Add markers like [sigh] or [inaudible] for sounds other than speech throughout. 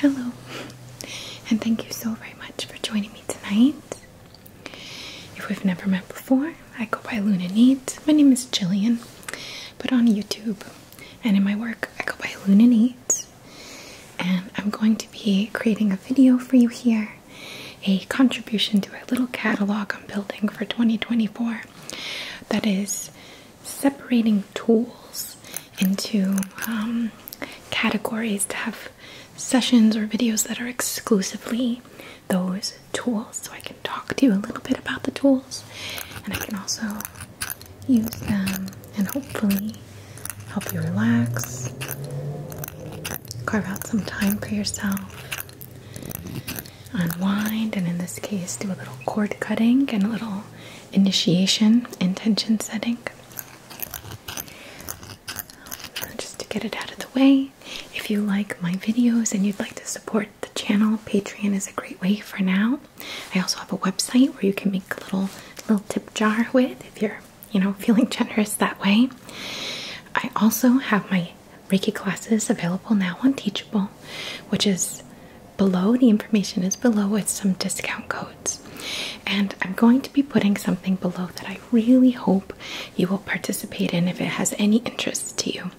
Hello, and thank you so very much for joining me tonight. If we've never met before, I go by Luna Neat. My name is Jillian, but on YouTube and in my work, I go by Luna Neat. And I'm going to be creating a video for you here a contribution to a little catalog I'm building for 2024 that is separating tools into um, categories to have sessions or videos that are exclusively those tools. So I can talk to you a little bit about the tools and I can also use them and hopefully help you relax, carve out some time for yourself, unwind, and in this case, do a little cord cutting and a little initiation, intention setting. Just to get it out of the way. If you like my videos and you'd like to support the channel, Patreon is a great way for now. I also have a website where you can make a little little tip jar with if you're you know, feeling generous that way. I also have my Reiki classes available now on Teachable, which is below. The information is below with some discount codes. And I'm going to be putting something below that I really hope you will participate in if it has any interest to you.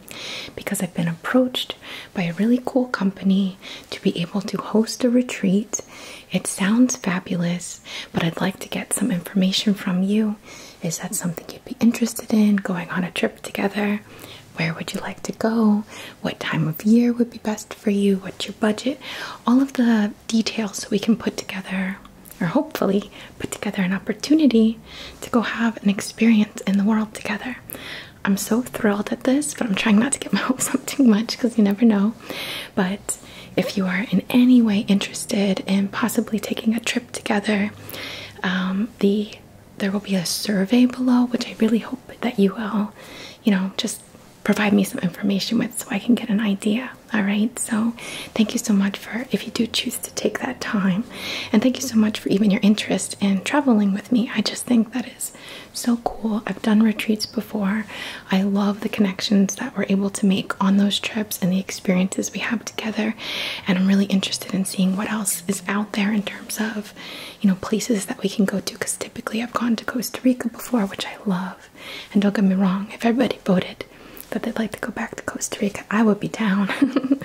Because I've been approached by a really cool company to be able to host a retreat it sounds fabulous, but I'd like to get some information from you. Is that something you'd be interested in? Going on a trip together? Where would you like to go? What time of year would be best for you? What's your budget? All of the details so we can put together, or hopefully put together, an opportunity to go have an experience in the world together. I'm so thrilled at this, but I'm trying not to get my [laughs] hopes up too much because you never know. But if you are in any way interested in possibly taking a trip together, um, the there will be a survey below, which I really hope that you will, you know, just provide me some information with so I can get an idea. All right. So thank you so much for if you do choose to take that time. And thank you so much for even your interest in traveling with me. I just think that is so cool. I've done retreats before. I love the connections that we're able to make on those trips and the experiences we have together. And I'm really interested in seeing what else is out there in terms of, you know, places that we can go to. Because typically I've gone to Costa Rica before, which I love. And don't get me wrong, if everybody voted that they'd like to go back to Costa Rica, I would be down. [laughs]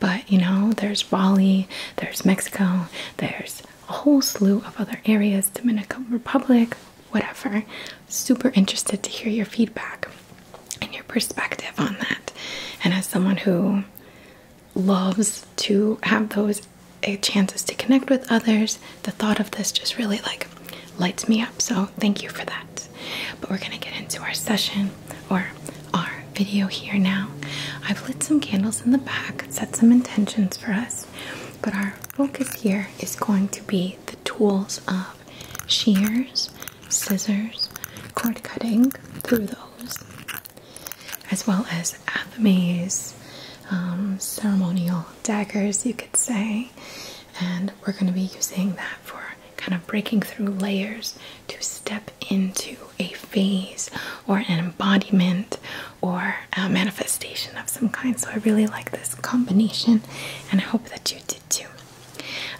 but you know, there's Bali, there's Mexico, there's a whole slew of other areas, Dominican Republic, whatever. Super interested to hear your feedback and your perspective on that. And as someone who loves to have those eh, chances to connect with others, the thought of this just really like lights me up. So thank you for that. But we're gonna get into our session or our video here now. I've lit some candles in the back, set some intentions for us, but our focus here is going to be the tools of shears, scissors, cord cutting through those, as well as Athame's um, ceremonial daggers, you could say. And we're going to be using that for kind of breaking through layers to step into a phase or an embodiment or a manifestation of some kind. So I really like this combination and I hope that you do.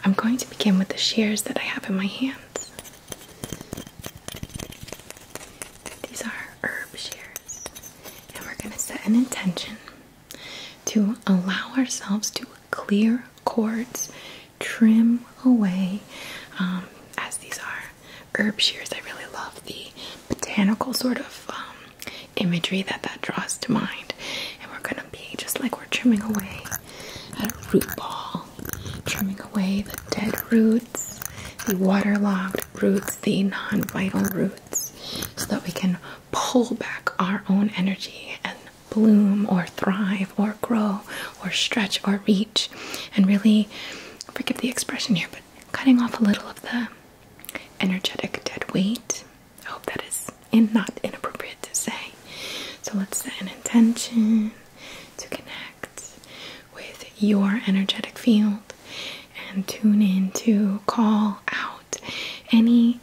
I'm going to begin with the shears that I have in my hands. These are herb shears, and we're going to set an intention to allow ourselves to clear cords, trim away. Um, as these are herb shears, I really love the botanical sort of um, imagery that that draws to mind. And we're gonna be just like we're trimming away at a root ball, trimming away the dead roots, the waterlogged roots, the non-vital roots, so that we can pull back our own energy and bloom or thrive or grow or stretch or reach and really forgive the expression here but cutting off a little of the energetic dead weight I hope that is in not inappropriate to say. So let's set an intention to connect with your energetic field and tune in to call out any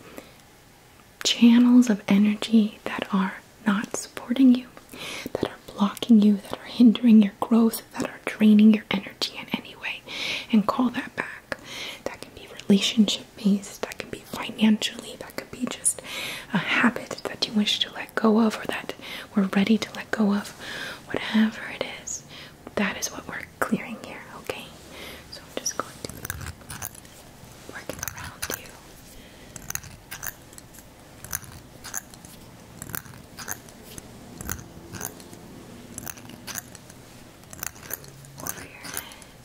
channels of energy that are not supporting you, that are blocking you, that are hindering your growth, that are draining your energy in any way, and call that back. That can be relationships that could be financially, that could be just a habit that you wish to let go of or that we're ready to let go of. Whatever it is, that is what we're clearing here, okay? So I'm just going to working around you. Over your head.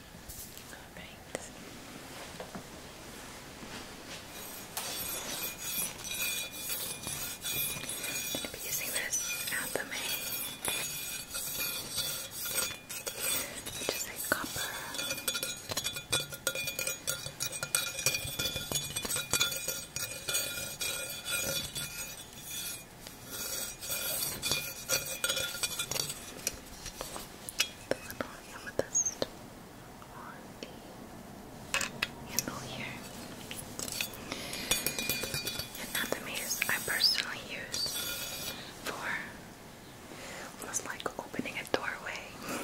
Alright. I'm going to be using this at the a copper the little amethyst on the handle here. And I personally use for almost [laughs] like opening a uh, doorway,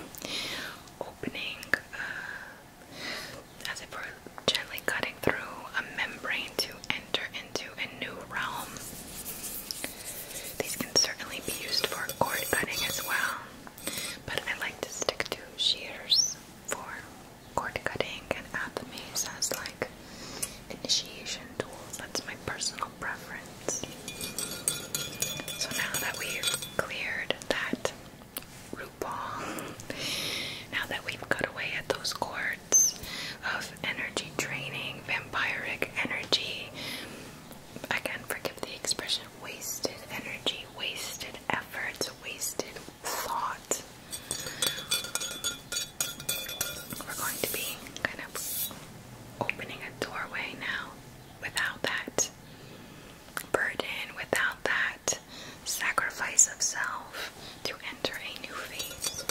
opening uh, as if we're gently cutting through a membrane to enter into a new realm. These can certainly be used for cord cutting as well, but I like to stick to shears for cord cutting and add the mace as like initiation tools. That's my personal preference. So now that we've cleared that root ball, now that we've cut away at those cords of energy training, vampiric energy, I can't forgive the expression, wasted energy, wasted efforts, wasted thought. We're going to be kind of opening a doorway now without that burden, without that sacrifice of self to enter a new phase.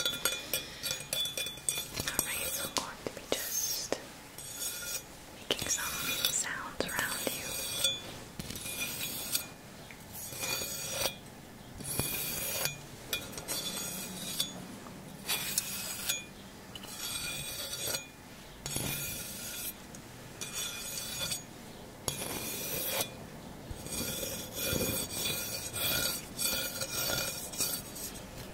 Alright, so i going to be just making some sounds around you. Good.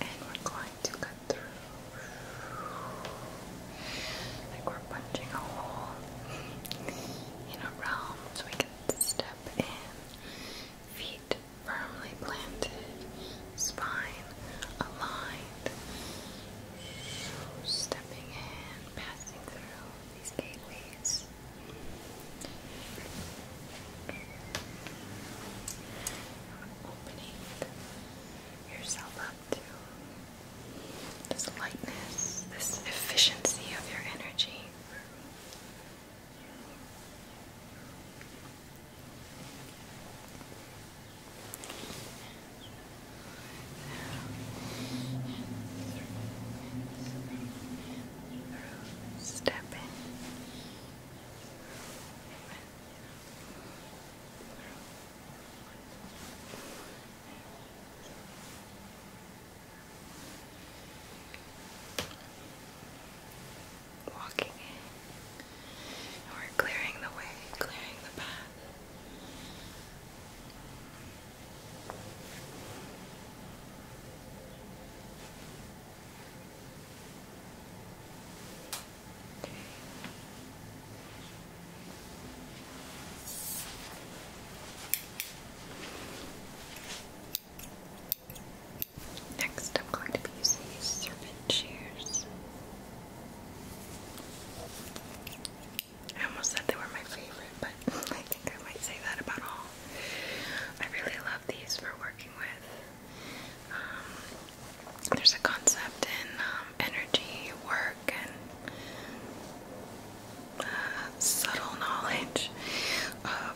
and we're going to cut through like we're punching a hole in a realm so we can step in feet firmly planted spine aligned stepping in passing through these gateways opening yourself up to this lightness, this efficiency of your energy. Step in. Walking in, and we're clearing the way, clearing the path. Next, I'm going to be these serpent shears. I almost said they were my favorite, but [laughs] I think I might say that about all. I really love these for working with um, there's a concept in um, energy work and uh, subtle knowledge of.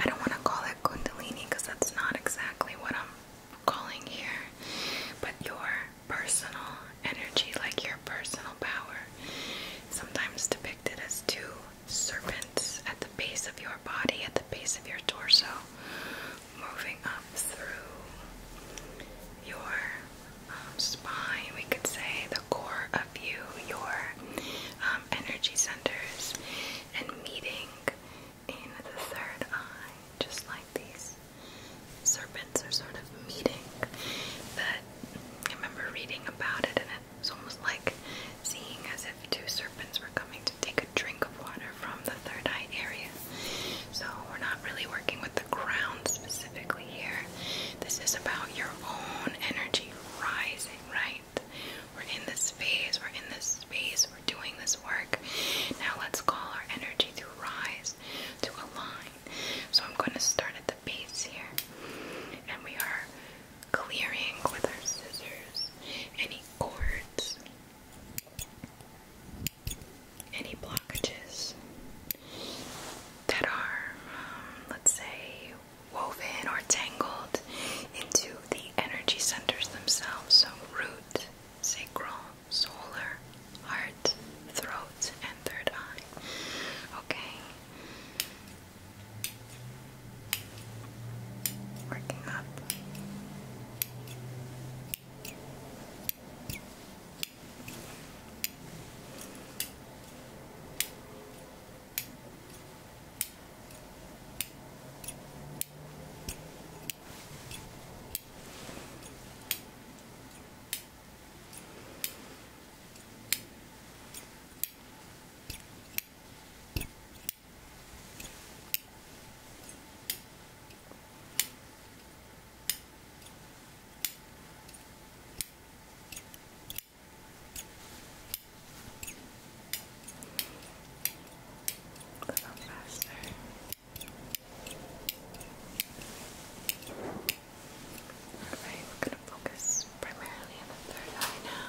I don't want to call it Kundalini because that's not exactly what I'm calling here, but your personal energy, like your personal power, sometimes depicted as two serpents at the base of your body, at the base of your torso, moving up through your um, spine, we could say the core of you, your um, energy centers, and meeting in the third eye, just like these serpents are sort of meeting. That I remember reading about it, and it was almost like seeing as if two serpents were coming take a drink of water from the third eye area. So we're not really working with the crown specifically here. This is about your own energy rising, right? We're in this phase, we're in this space, we're doing this work. Now let's call our energy to rise, to align. So I'm going to start at the base here. And we are clearing with our scissors any cords any blockages that are, um, let's say, woven or tangled into the energy centers themselves. So, root, sacral, solar, heart, throat, and third eye. Okay working up. A little faster. Alright, we're going to focus primarily on the third eye now.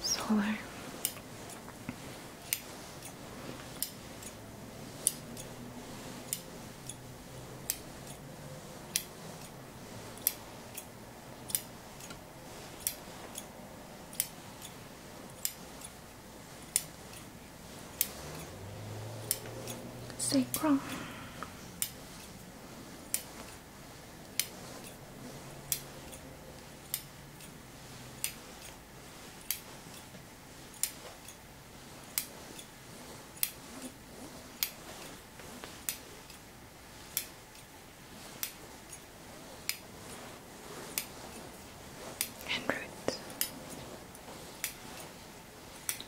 solar sacrum and root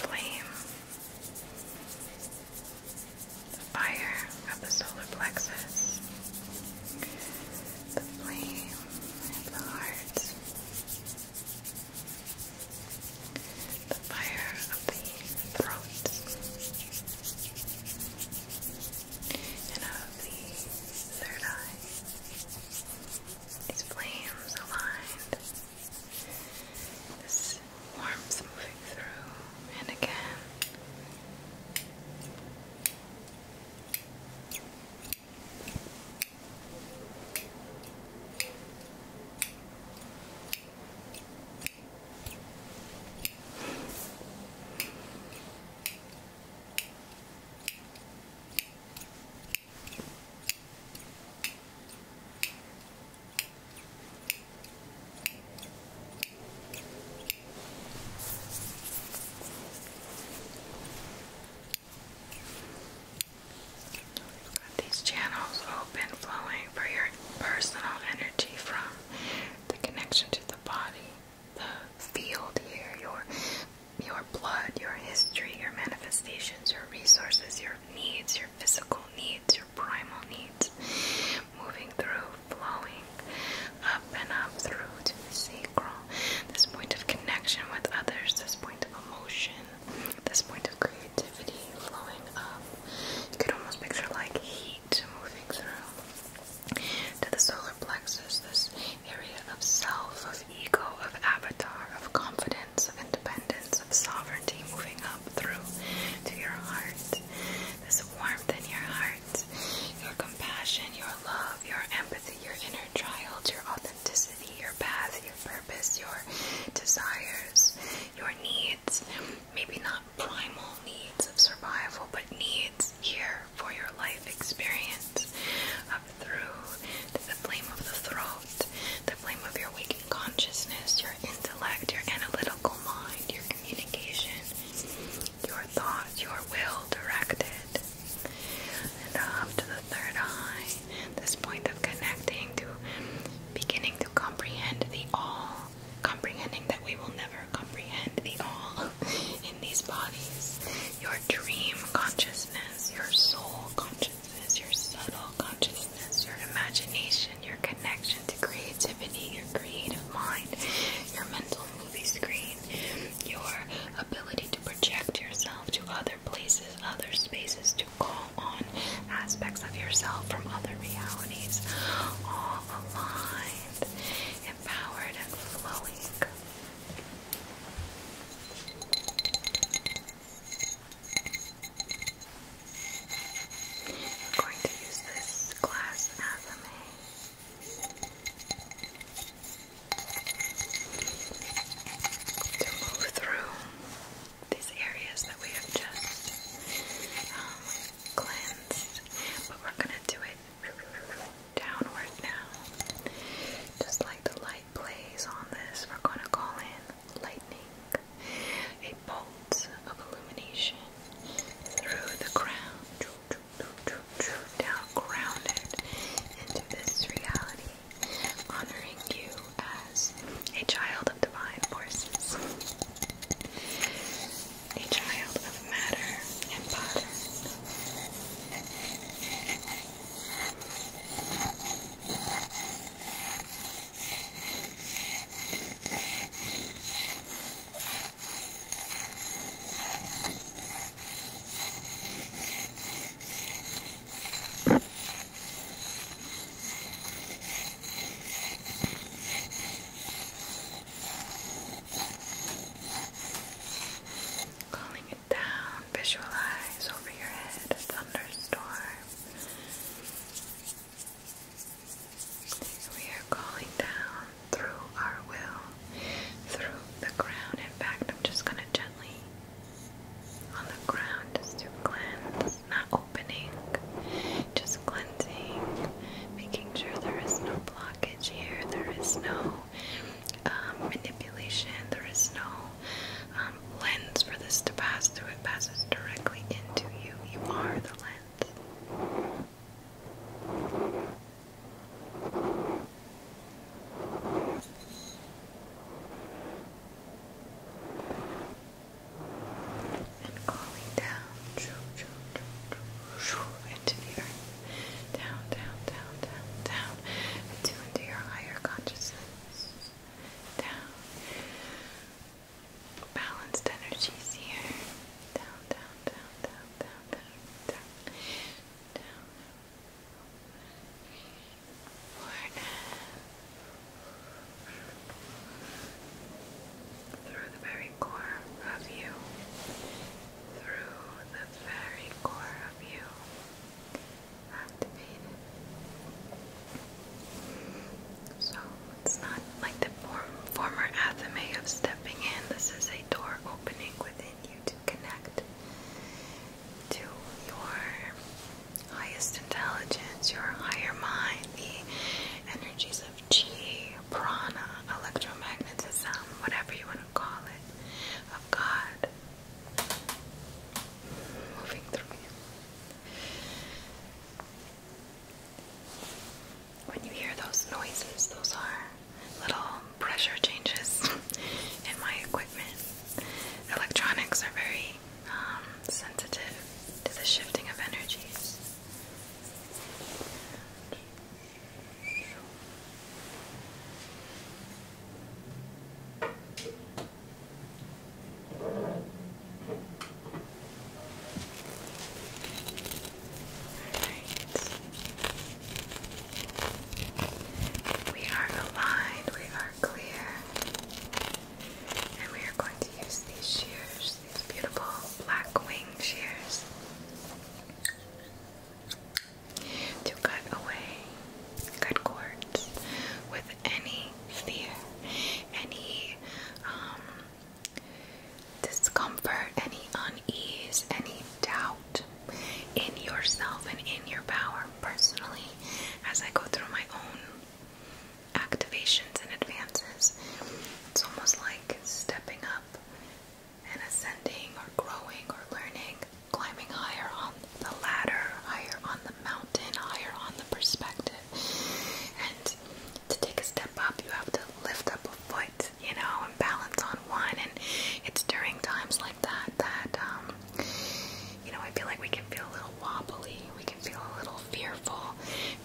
flame, the fire of the solar plexus, the flame of the heart, the fire of the throat, and of the third eye. These flames aligned this warmth moving through and again. Got these channels open, flowing for your personal energy from the connection to the body, the field here, your your your blood, your history, your manifestations, your resources, your needs, your physical needs, your primal needs, moving through, flowing up and up through to the sacral, this point of connection with others, this point of emotion, this point of creativity flowing up. You could almost picture like heat moving through to the solar plexus, this area of self, of ego, of avatar, of confidence of independence, of sovereignty moving up through to your heart. This warmth in your heart, your compassion, your love, your empathy, your inner child, your authenticity, your path, your purpose, your desires, your needs. Maybe not primal needs of survival, but needs here for your life experience up through the flame of the throat, the flame of your waking consciousness, your intellect, your analytical mind, your communication, your thoughts, your will directed. And up to the third eye, this point of connecting to beginning to comprehend the all, comprehending that we will never comprehend the all [laughs] in these bodies, your dream consciousness, your soul consciousness consciousness, your subtle consciousness, your imagination, your connection to creativity, your creative mind, your mental movie screen, your ability to project yourself to other places, other spaces, to call on aspects of yourself from other realities, all aligned, empowered, and flowing. I'm going to use this glass as a to move through these areas that we have just um, cleansed, but we're going to do it downward now. Just like the light plays on this, we're going to call in lightning, a bolt of illumination through the crown, now grounded into this reality, honoring you as a child of divine forces, a child of matter and pattern. Calling it down visualize over your head a thunderstorm. We are calling down through our will, through the ground. In fact, I'm just going to gently on the ground just to cleanse, not opening, just cleansing, making sure there is no blockage here, there is no um, manipulation, there is no um, lens for this to pass through. It passes directly into you. You are the lens. And calling down into the earth. Down, down, down, down, down. into your higher consciousness down. Balanced energies here. Down, down, down, down, down, down, down, down. Through the very core of you. Through the very core of you activated. So it's not like the former athame of stepping in. This is a door opening within you to connect to your highest intelligence, your higher mind, the energies of chi, prana, electromagnetism, whatever you want to call it, of God moving through you. When you hear those noises, those are little pressure changes [laughs] in my equipment. Electronics are very um, sensitive to the shifting of energies. We are aligned, we are clear. And we are going to use these shears, these beautiful black wing shears, to cut away good chords with any fear, any um, discomfort, any unease, any doubt in yourself and in your power. Personally, as I go through my own activations and advances, it's almost like stepping up and ascending or growing or learning, climbing higher on the ladder, higher on mountain, higher on the perspective. And to take a step up, you have to lift up a foot, you know, and balance on one. And it's during times like that that, um, you know, I feel like we can feel a little wobbly. We can feel a little fearful,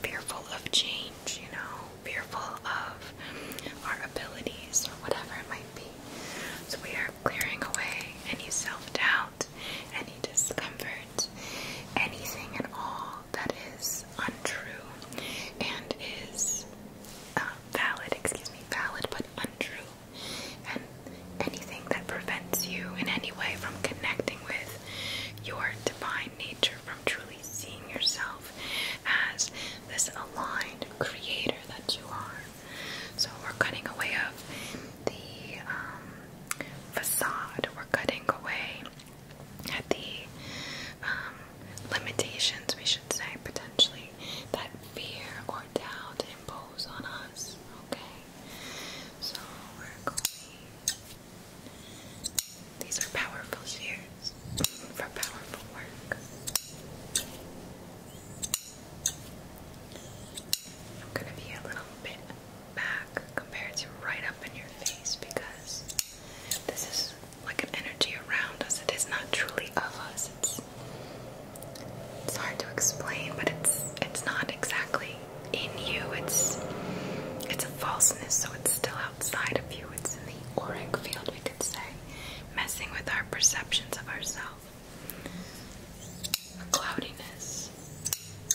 fearful of change, you know, fearful of our abilities or whatever it might be. So we are clearing away any self doubt any discomfort, anything at all that is untrue and is uh, valid, excuse me, valid but untrue, and anything that prevents you in any way from connecting with your divine nature, from truly seeing yourself as this aligned creator that you are. So we're cutting away of the um, facade. We're cutting away at the um, limitations, we should say, potentially, that fear or doubt impose on us. Okay? So we're going. These are powerful shears for powerful work. I'm going to be a little bit back compared to right up in your face because this is like an energy around us. It is not truly of us. It's hard to explain, but it's it's not exactly in you. It's it's a falseness, so it's still outside of you. It's in the auric field, we could say, messing with our perceptions of ourselves. A cloudiness,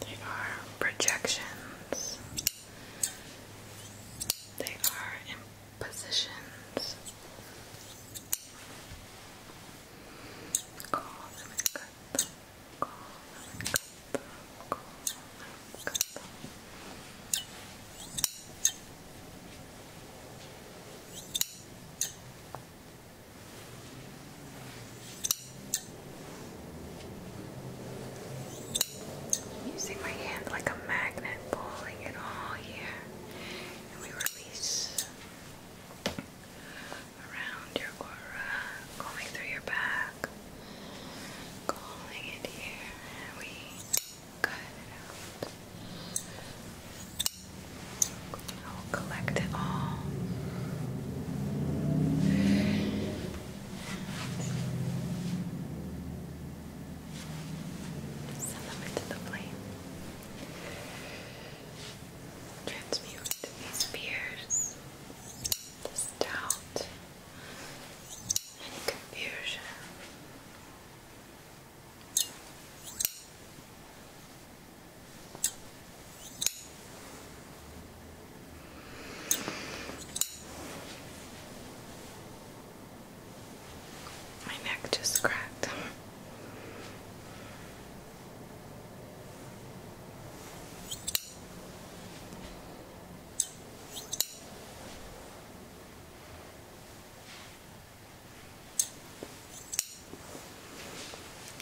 They are projections. They are impositions. Call them and cut them. Call them and cut them. Call them and cut them. I'm using my hand like a magnet, pulling it all here, and we release around your aura, going through your back, calling it here, and we cut it out. I'll collect it all. Send them into the flame. Transmute these fears, this doubt, any confusion. My neck just cracked.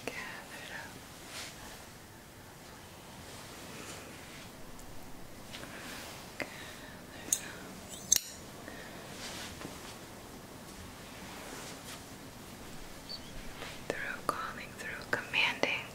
Gather it up. Gather it up. Through calling, through commanding. Gather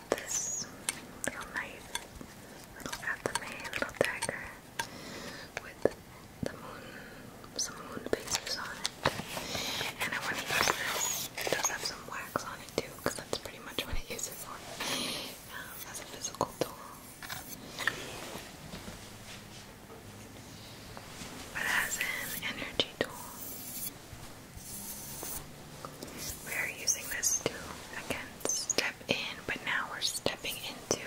this little knife, little Athame, little dagger with the moon, some moon pieces on it. And I want It does have some wax on it too, that's pretty much what I use for um, a physical tool. But as an energy tool. We are using this to again step in, but now we're stepping into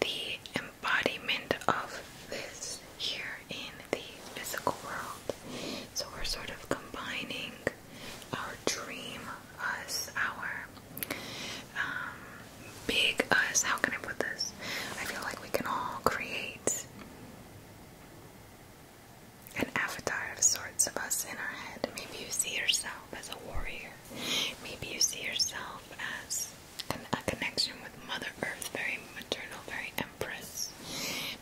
the embodiment of this here in the physical world. So we're sort of combining our dream us, our um, big us. How can I put this? I feel like we can all create an avatar of sorts of us in our head. Maybe you see yourself as a warrior. Maybe you see yourself as a connection with Mother Earth, very maternal, very empress.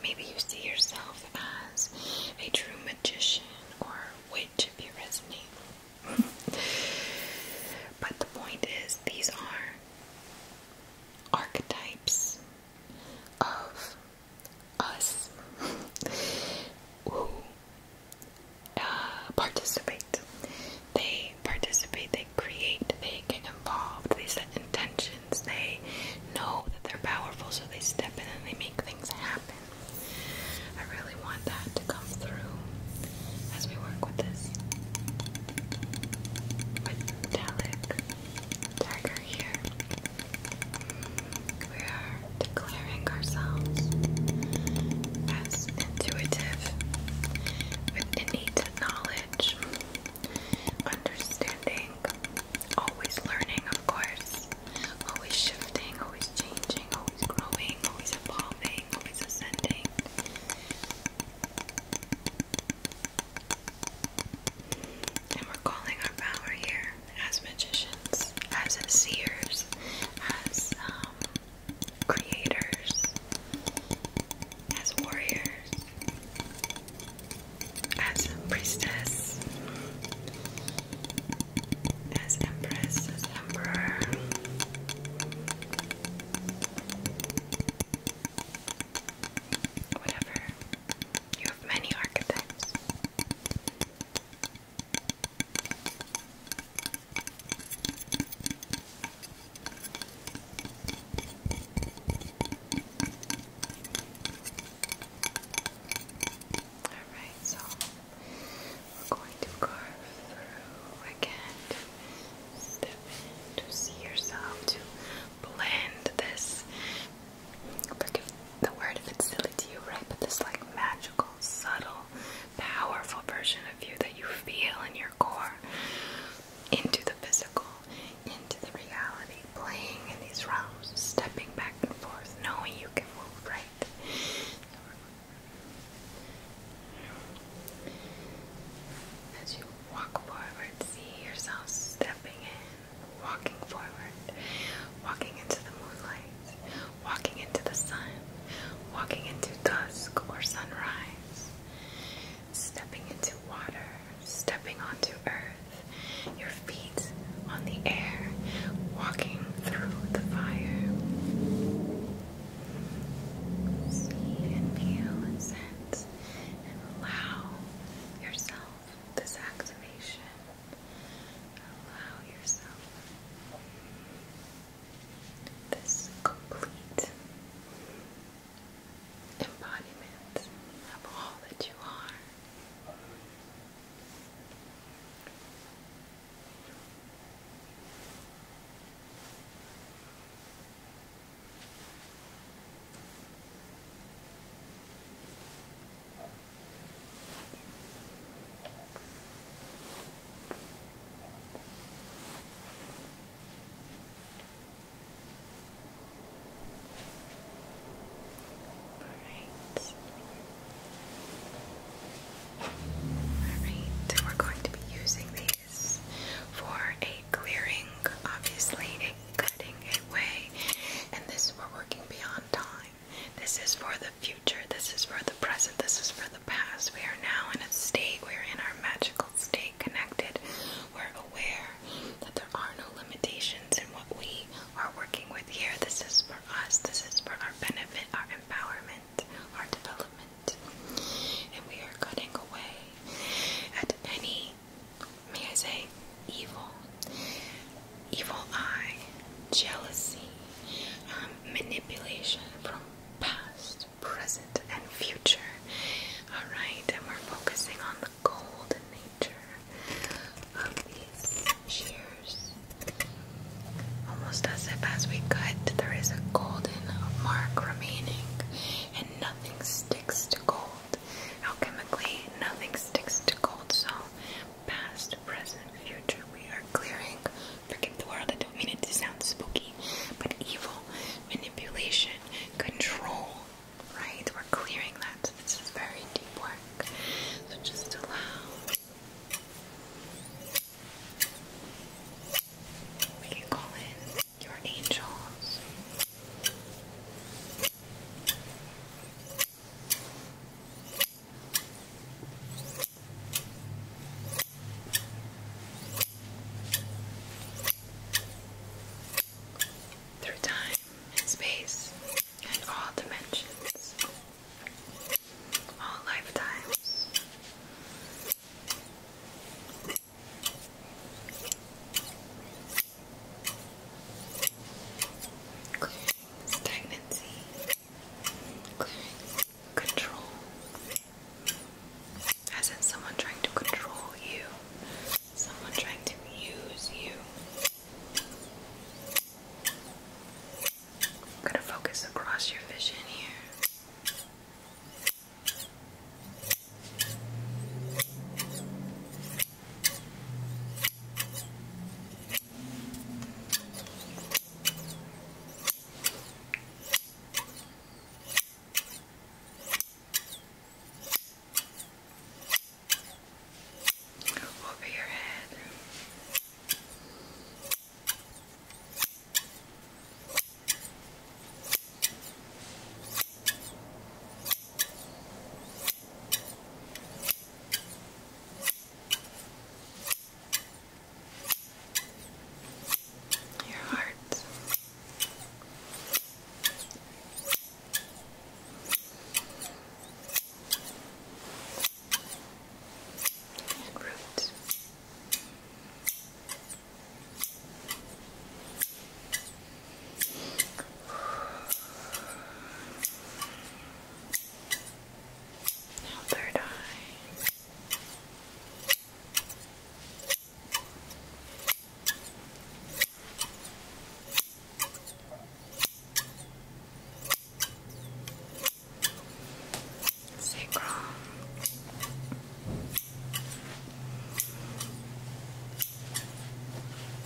Maybe you see yourself as a true magician or witch if you resonate. [laughs] but the point is, these are archetypes of us who uh, participate. They participate, they create, they get involved, they set intentions, they know that they're powerful, so they step in and they make things happen. I really want that to come through as we work with this metallic dagger here. We are declaring ourselves as intuitive with innate knowledge, understanding, always learning, of course, always shifting, always changing, always growing, always evolving, always ascending. And we're calling our power here as magicians, as seers, as um, creators, as warriors, as a priestess, as empress, as emperor. Whatever you have many archetypes. Alright, so we're going to carve through again step in to see yourself to blend this forgive the word if it's silly to you, right? But this like magical, subtle, powerful version of you that you feel in your core into the physical, into the reality, playing in these realms, stepping back and forth, knowing you can move right. As you walk forward, see yourself stepping in, walking forward, walking into the moonlight, walking into the sun, walking into dusk or sunrise, stepping into water, stepping onto earth, your feet on the air, walking through the fire. See and feel and sense and allow yourself this activation. Allow yourself this complete embodiment of all that you are. Alright. Alright, we're going to be using these for a clearing, obviously, cutting away. And this is we working beyond time. This is for the future. This is for the present. This is for the past. We are now in a state. We are in our magical state, connected. We're aware that there are no limitations in what we are working with here. This is for us. This is for our benefit, our empowerment, our development. And we are cutting away at any may I say, evil, evil eye, jealousy, um, manipulation from past, present, and future. Alright, and we're focusing on the golden nature of these shears. Almost as if as we cut, there is a golden mark remaining, and nothing sticks to gold. Alchemically, nothing sticks to cold, so past, present, future, we are clearing. Forgive the word, I don't mean it to sound spooky, but evil, manipulation, control, right? We're clearing that, this is very deep work. So just allow. We can call in your angels. Through time and space and all dimensions, all lifetimes. Stagnancy. Control. As in someone trying to control you. Someone trying to use you. gonna focus across your vision here. Over your head. Over your heart. And root. Now third eye. Sacrum.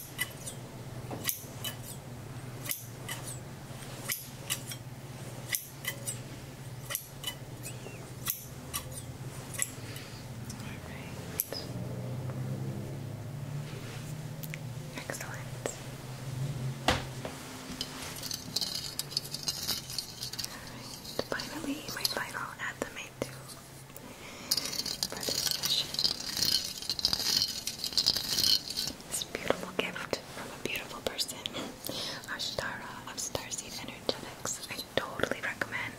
Alright. Excellent. Alright. Finally, my final at the made too this beautiful gift from a beautiful person, Ashtara of Starseed Energetics. I totally recommend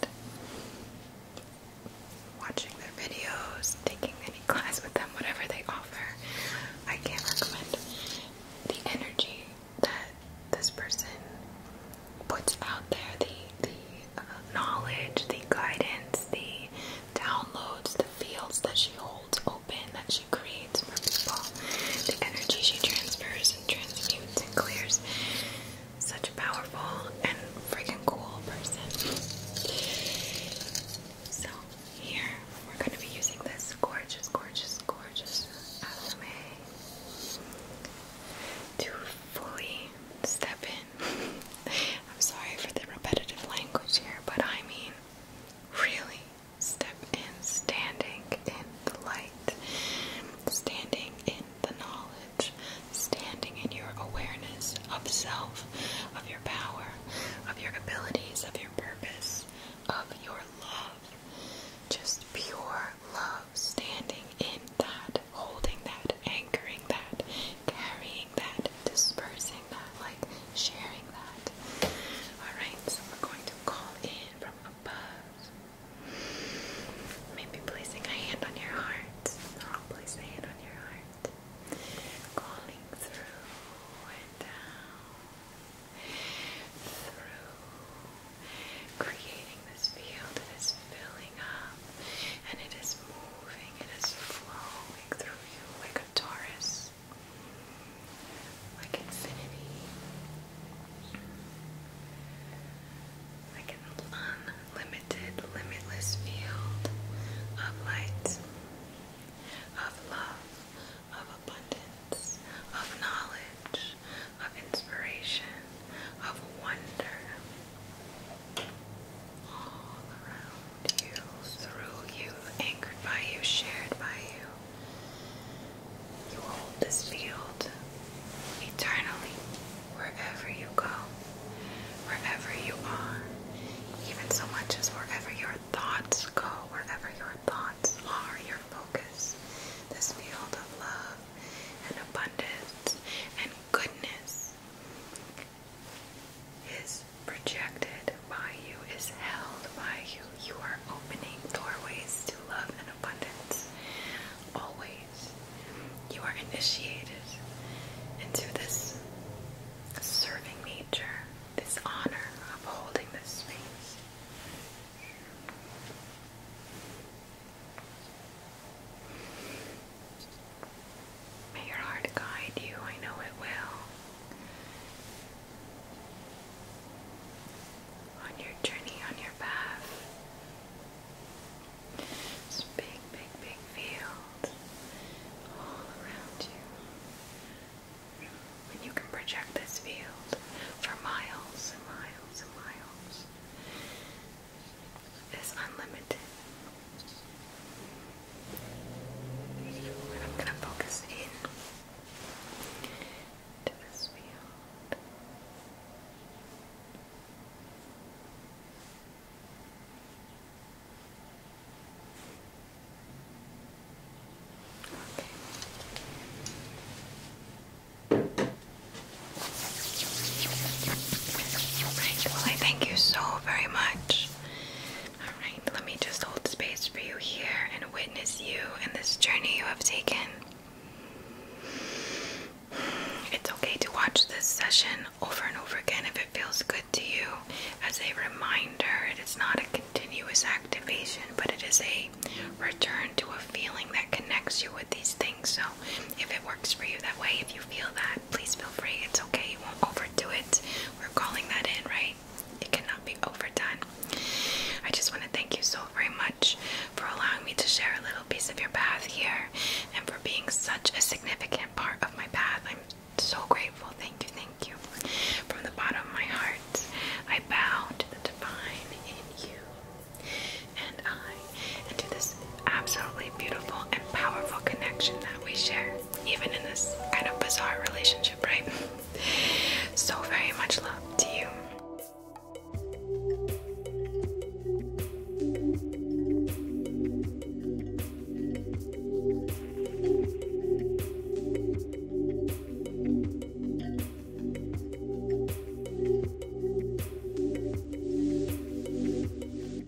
watching their videos, taking any class with them, whatever they offer. I can't recommend the energy that this person puts out there, the the uh, knowledge, the guidance, the downloads, the fields that she holds open, that she creates for people, the energy she transfers and transmutes and clears. Such a powerful and freaking cool person. So, here we're going to be using this gorgeous, gorgeous, gorgeous affirmation to fully step in [laughs] I'm sorry for the repetitive language here, but I mean, really step in standing in the light, standing in the knowledge, standing in your awareness of self, of your power, of your abilities, of your purpose, of your love. Just pure love standing in that holding that, anchoring that, carrying that, dispersing that, like sharing that. Alright, so we're going to call in from above. Maybe placing a hand on your heart. I'll a hand on your heart. Calling through and down. Through. Creating this field that is filling up and it is moving, it is flowing through you like a Taurus, like infinity, like an unlimited, limitless field of light, of love, of abundance, of knowledge, of inspiration, of wonder all around you, through you, anchored by you, shared by you. You hold this field eternally, wherever you go, wherever you are, even so much as wherever your thoughts go, wherever your thoughts are, your focus. This field of love and abundance and goodness is projected by you, is held by you. You are opening doorways to love and abundance. Always. You are initiated into this serving nature, this honor of holding this space. May your heart guide you, I know it will. On your journey, on your path. This big, big, big field all around you. And you can project this field for miles and miles and miles is unlimited. I'm going to focus in to this field. Okay. Well, I thank you so very much Alright, let me just hold space for you here and witness you and this journey you have taken. It's okay to watch this session over and over again if it feels good to you. As a reminder, it is not a continuous activation, but it is a return to a feeling that connects you with these things. So, if it works for you that way, if you feel that, please feel free. It's okay. You won't overdo it. We're calling that in, right? It cannot be overdone. I just want to thank you so very much for allowing me to share a little piece of your path here and for being such a significant part of my path. I'm so grateful. Thank you, thank you. From the bottom of my heart, I bow to the divine in you and I and to this absolutely beautiful and powerful connection that we share, even in this kind of bizarre relationship, right? [laughs] so, very much love to you.